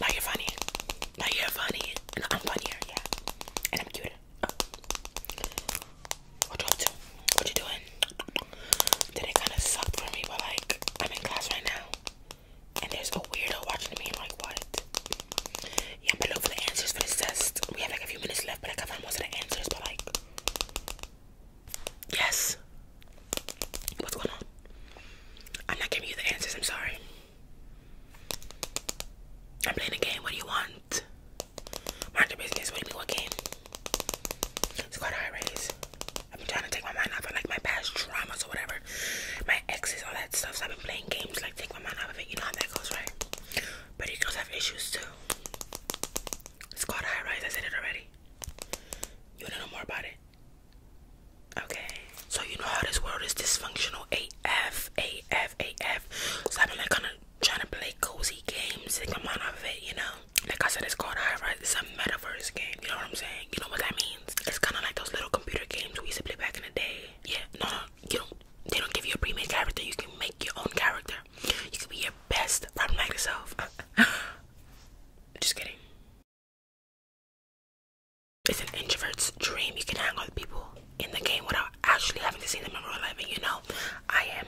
now you're funny. Now you're funny. I'm funnier, yeah. And I'm cuter. Oh. What you up to? What you doing? Today kinda sucked for me, but like I'm in class right now. And there's a weirdo watching me. I'm like, what? Yeah, I'm going for the answers for this test. We have like a few minutes left, but I got most of the answers, but like Yes. What's going on? I'm not giving you the answers. I'm sorry. I'm playing a game. What do you want? Mind your business. What do you mean? What game? Squad high raise. I've been trying to take my mind off of like my past traumas or whatever, my exes, all that stuff. So I've been playing games like take my mind off of it. You know how that goes, right? But you girls have issues too. It's called high rise. I said it already. You wanna know more about it? Okay. So you know how this world is dysfunctional AF, AF, AF. So I've been like kind of trying to play cozy games to come out of it, you know? Like I said, it's called High Rise. It's a metaverse game. You know what I'm saying? You know what that means? It's kind of like those little computer games we used to play back in the day. Yeah, no, no, you don't. They don't give you a pre-made character. You can make your own character. You can be your best problematic self. Just kidding. It's an introvert's dream. You can hang with people in the game without actually having to see them in real life. you know, I am.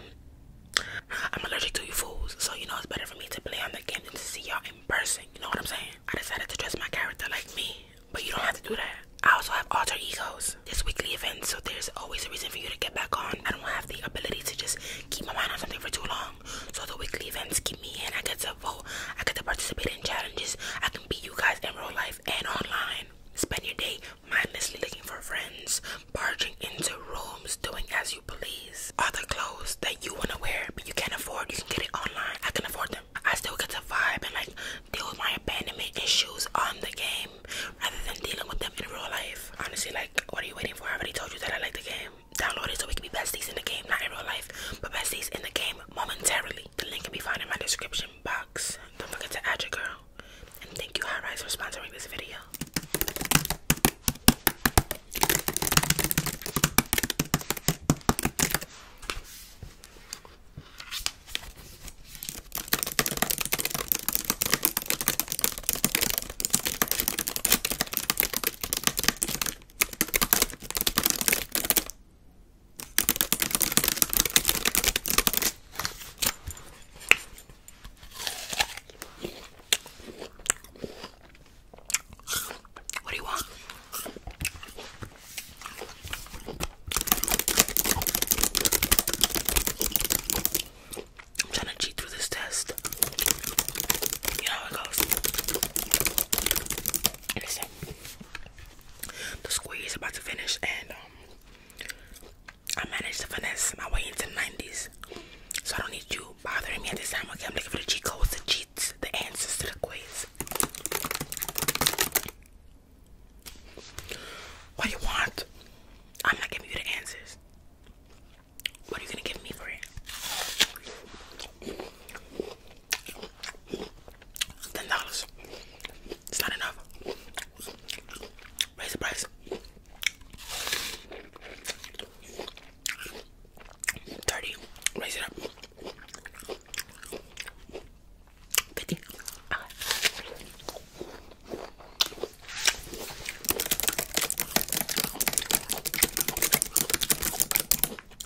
I'm allergic to you fools, so you know it's better for me to play on the game than to see y'all in person. You know what I'm saying? I decided to dress my character like me, but you don't have to do that. I also have alter egos. This weekly event, so there's always a reason for you to get back on. I don't have the ability to just keep my mind on something for too long. So the weekly events keep me in. I get to vote. I get to participate in challenges. I can be you guys in real life and online. Spend your day mindlessly looking for friends, barging into rooms, doing as you please. the clothes that you want to wear but you can't afford, you can get it online. I can afford them. I still get to vibe and like deal with my abandonment issues on the game rather than dealing with them in real life. Honestly, like, what are you waiting for? I already told you that I like the game download it so we can be besties in the game, not in real life, but besties in the game momentarily. The link can be found in my description box. Don't forget to add your girl. And thank you, High for sponsoring this video. What do you want? I'm trying to cheat through this test. You know it goes. Listen, the squeeze is about to finish, and um, I managed to finesse my way into the 90s. So I don't need you bothering me at this time. Okay, I'm looking for the cheat codes, the cheats, the answers to the quiz. What do you want? I'm not giving you the answers. What are you gonna give me for it? Ten dollars. It's not enough. Raise the price. Thirty. Raise it up. Fifty.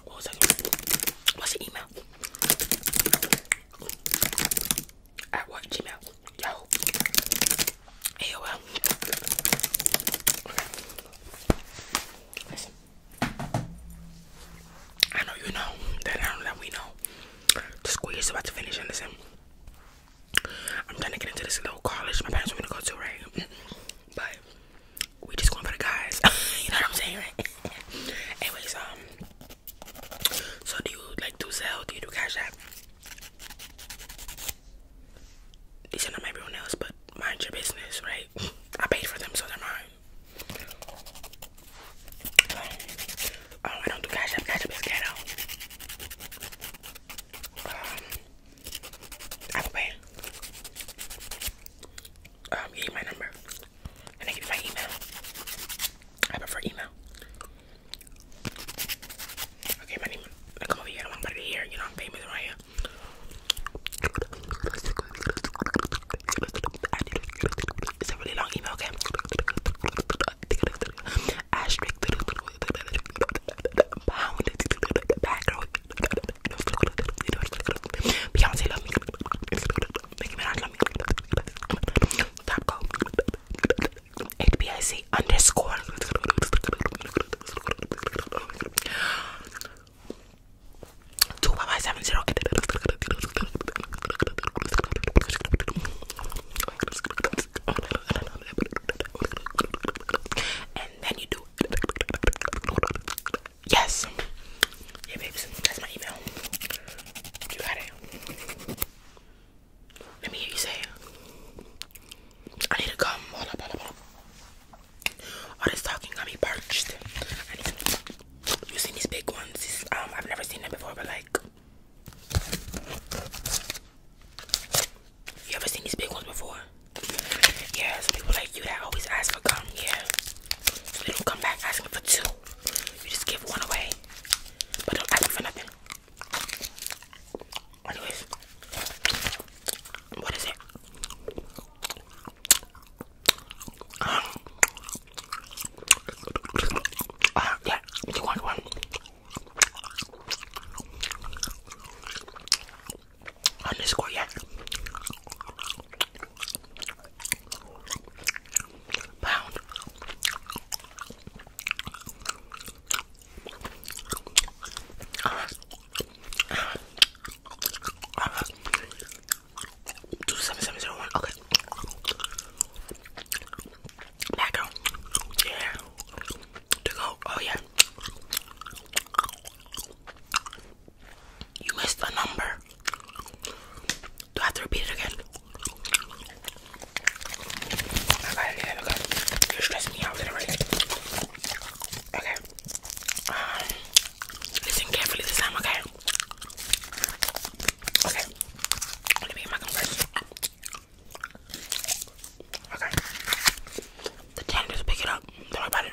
What was I gonna What's your email? At what Gmail? Yo. AOL. Listen. I know you know that I don't that we know. The school year's about to finish and listen. I'm trying to get into this little college my parents want me to go to, right? Bye we just going for the guys. you know what I'm saying? Right? Anyways, um, so do you like do sell? Do you do Cash App? These are not everyone else, but mind your business, right? I paid for them, so they're mine. oh, I don't do Cash App. Cash App is ghetto. Um, I will pay. Um, you need my number. And I give you my email. I prefer email. Okay, my name. I come over here. I don't want You know, I'm famous right It's a really long email, okay? Asterisk. Pound. Back girl. Beyonce love me. Nicki Minaj love me. Top go. HBIC underscore. Two five five seven zero. And then you do. Yes. Yeah, babes. That's my email. You got it. Let me hear you say I need to come. Hold All this talking got me parched. I You seen these big ones? um, I've never seen them before, but like... You ever seen these big ones before? Yeah, some people like you that always ask for gum, yeah. So don't come back asking for two. You just give one away. But don't ask them for nothing. Anyways. What is it? Um, yeah, you want one? underscore yak pound 27701 okay Black girl, yeah. To go, oh yeah. You missed a number. Do I have to repeat it again? I okay. You're stressing me out literally. Okay. Um, listen carefully this time, okay? Okay. Let me get my gum Okay. The tenders pick it up. Don't worry about it.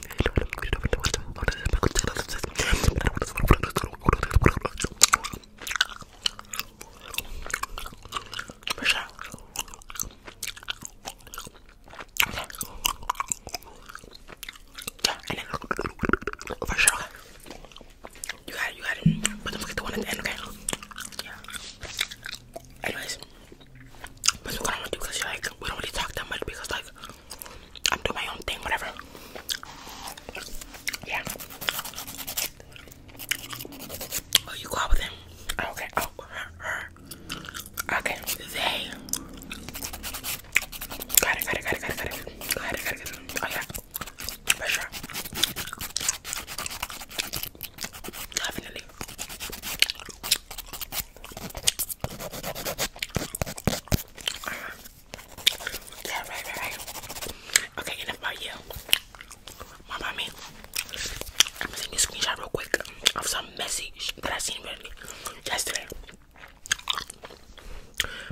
Push out. for sure. You got it, you got it. But don't forget the one at the end, okay? Yeah. Anyways, that's what I want to do because, like, we don't really talk that much because, like, I'm doing my own thing, whatever. Yeah. Oh, you go out with him. Oh, okay. Oh, Okay. They. got it, got it, got it. Got it, got it, got it. Oh, yeah. For sure. Definitely. Okay, enough about you. My mommy. I'm gonna send you a screenshot real quick of some message that I seen yesterday.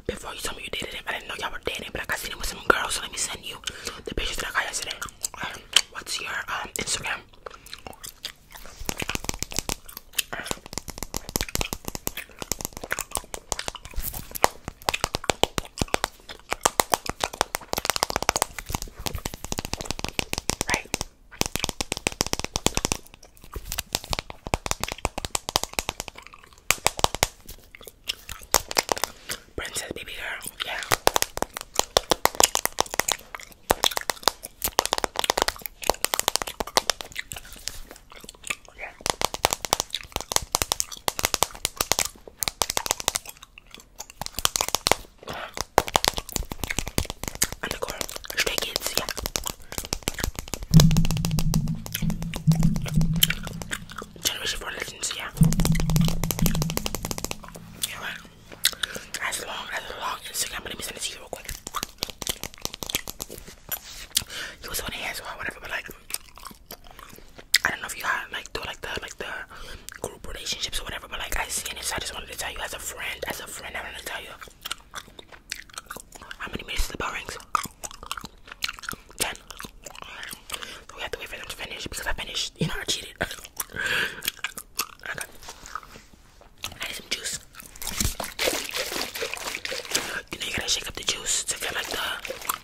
Before you told me you dated him, I didn't know y'all were dating, but I I seen him with some girls, so let me send you the pictures that I got yesterday. Um, what's your um, Instagram? Right. Princess baby girl, yeah. Yeah. And the Generation for legends, yeah. Yeah, right. As long as long Instagram, let me send it to you real quick. He was on the ass or whatever, but like, I don't know if you had like do like the like the group relationships or whatever, but like I see this, I just wanted to tell you as a friend, as a friend, I wanted to tell you how many minutes the bell rings. Ten. we have to wait for them to finish because I finished. You know, I cheated. okay. I need some juice. You know you gotta shake up the juice to get like the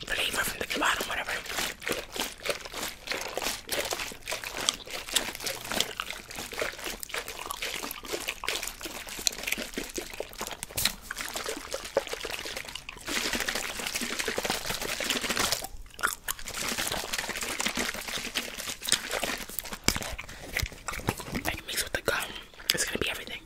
flavor from the bottom, whatever. And mix with the gum. It's gonna be everything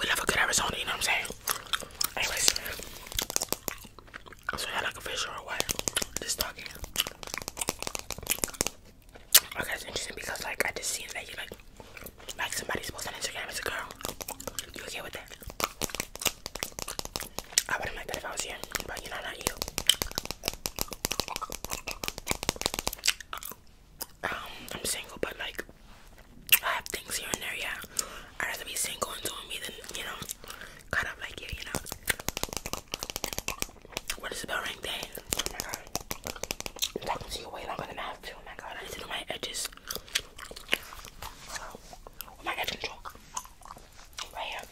we never could Arizona, you know what I'm saying? Anyways, so yeah, like a fish or what? Just talking. Okay, it's interesting because like I just seen that like somebody's supposed Instagram as a girl. You okay with that? I wouldn't like that if I was here, but you know, not you. Um, I'm single, but like I have things here and there, yeah. I'd rather be single and doing me than, you know, caught up like you, you know. What is the bell ring day? Oh my god. I'm talking to you way longer than I have to. Oh my god, I need to do my edges. Oh, my edge control. Right here.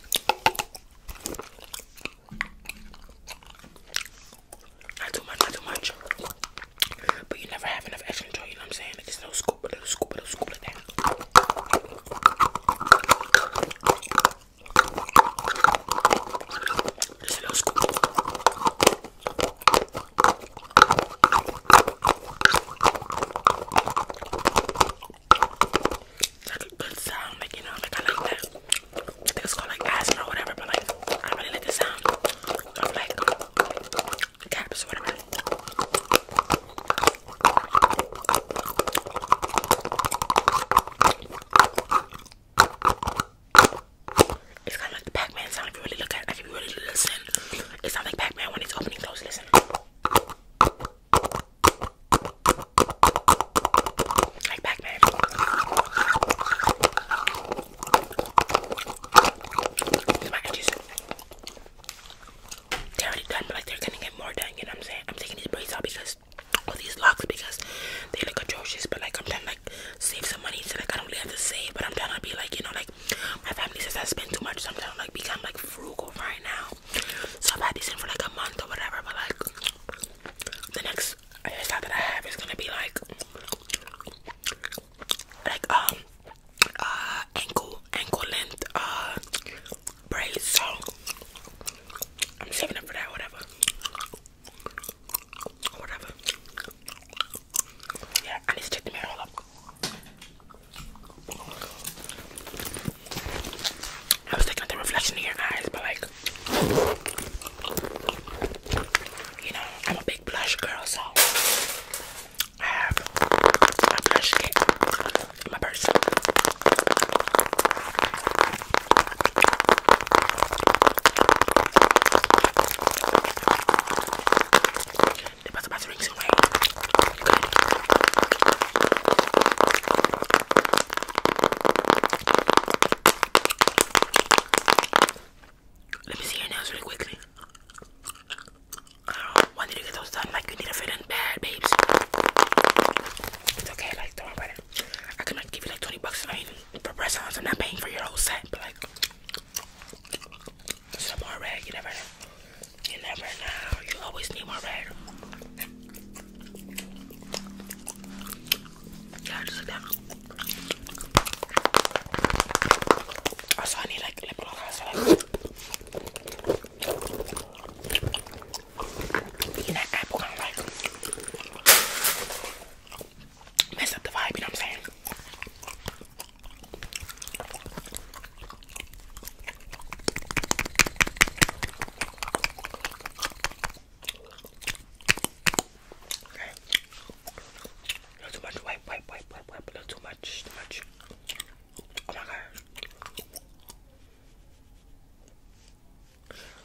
Not too much, not too much. But you never have enough extra you know what I'm saying? It's little scoop, a little scoop, a little scoop of that. Just a little scoop. It's like a good sound, like you know, like I like that. I think it's called like asthma or whatever, but like I really like the sound of like it's kind of like the Pac-Man sound if you really look at it, if you really listen. It sounds like Pac-Man when it's opening close. Listen. Like Pac-Man. These my edges they done, but like they're gonna get more done. You know what I'm saying? I'm taking these braids out because all these locks because they look atrocious. But like I'm trying to like save some money, so like I don't really have to save. But I'm trying to be like you know like my family says I spend too much, so I'm trying like become like frugal right now. So I've had these in for like a month or whatever. But like the next hairstyle that I have is gonna be like like um uh, ankle ankle length uh, braids. So I'm saving up for that. Whatever. Whatever. Yeah, I need to check the mirror. up. I was looking at the reflection in your eyes, but like, you know, I'm a big blush girl, so I have a brush kit my purse. Let me see your nails really quickly. When did you get those done? Like you need to feel bad, babes. It's okay, like don't worry I can like give you like 20 bucks. I for breast sounds, I'm not paying for your whole set, but like some more red. You never, you never know. You always need more red. Yeah, just like that. Also, I need like lip gloss. You know, mess up the vibe, you know what I'm saying? Okay. too much, wipe, wipe, wipe, wipe, wipe, a little too much, too much. Oh my god!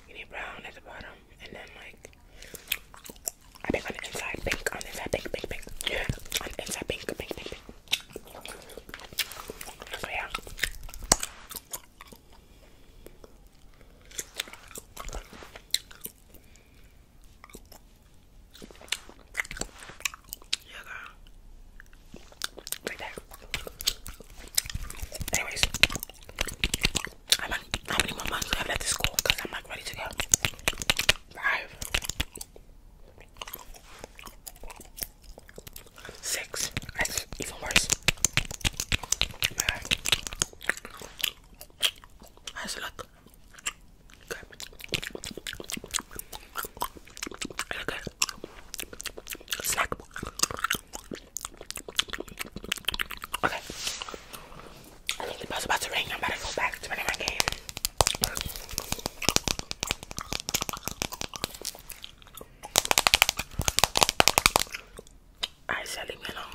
You need brown at the bottom and then like I think on the inside pink, on the inside pink, pink, pink. on the inside pink, pink, pink, pink. Oh, yeah. Yeah, girl. Right there. Anyways, how many, how many more months do I have left to school? Because I'm like ready to go. Five. Six. That's even worse. That's a lot. Good. Really good. Okay. I think the bell's about to ring. I'm about to go back to my game. I said leave me alone.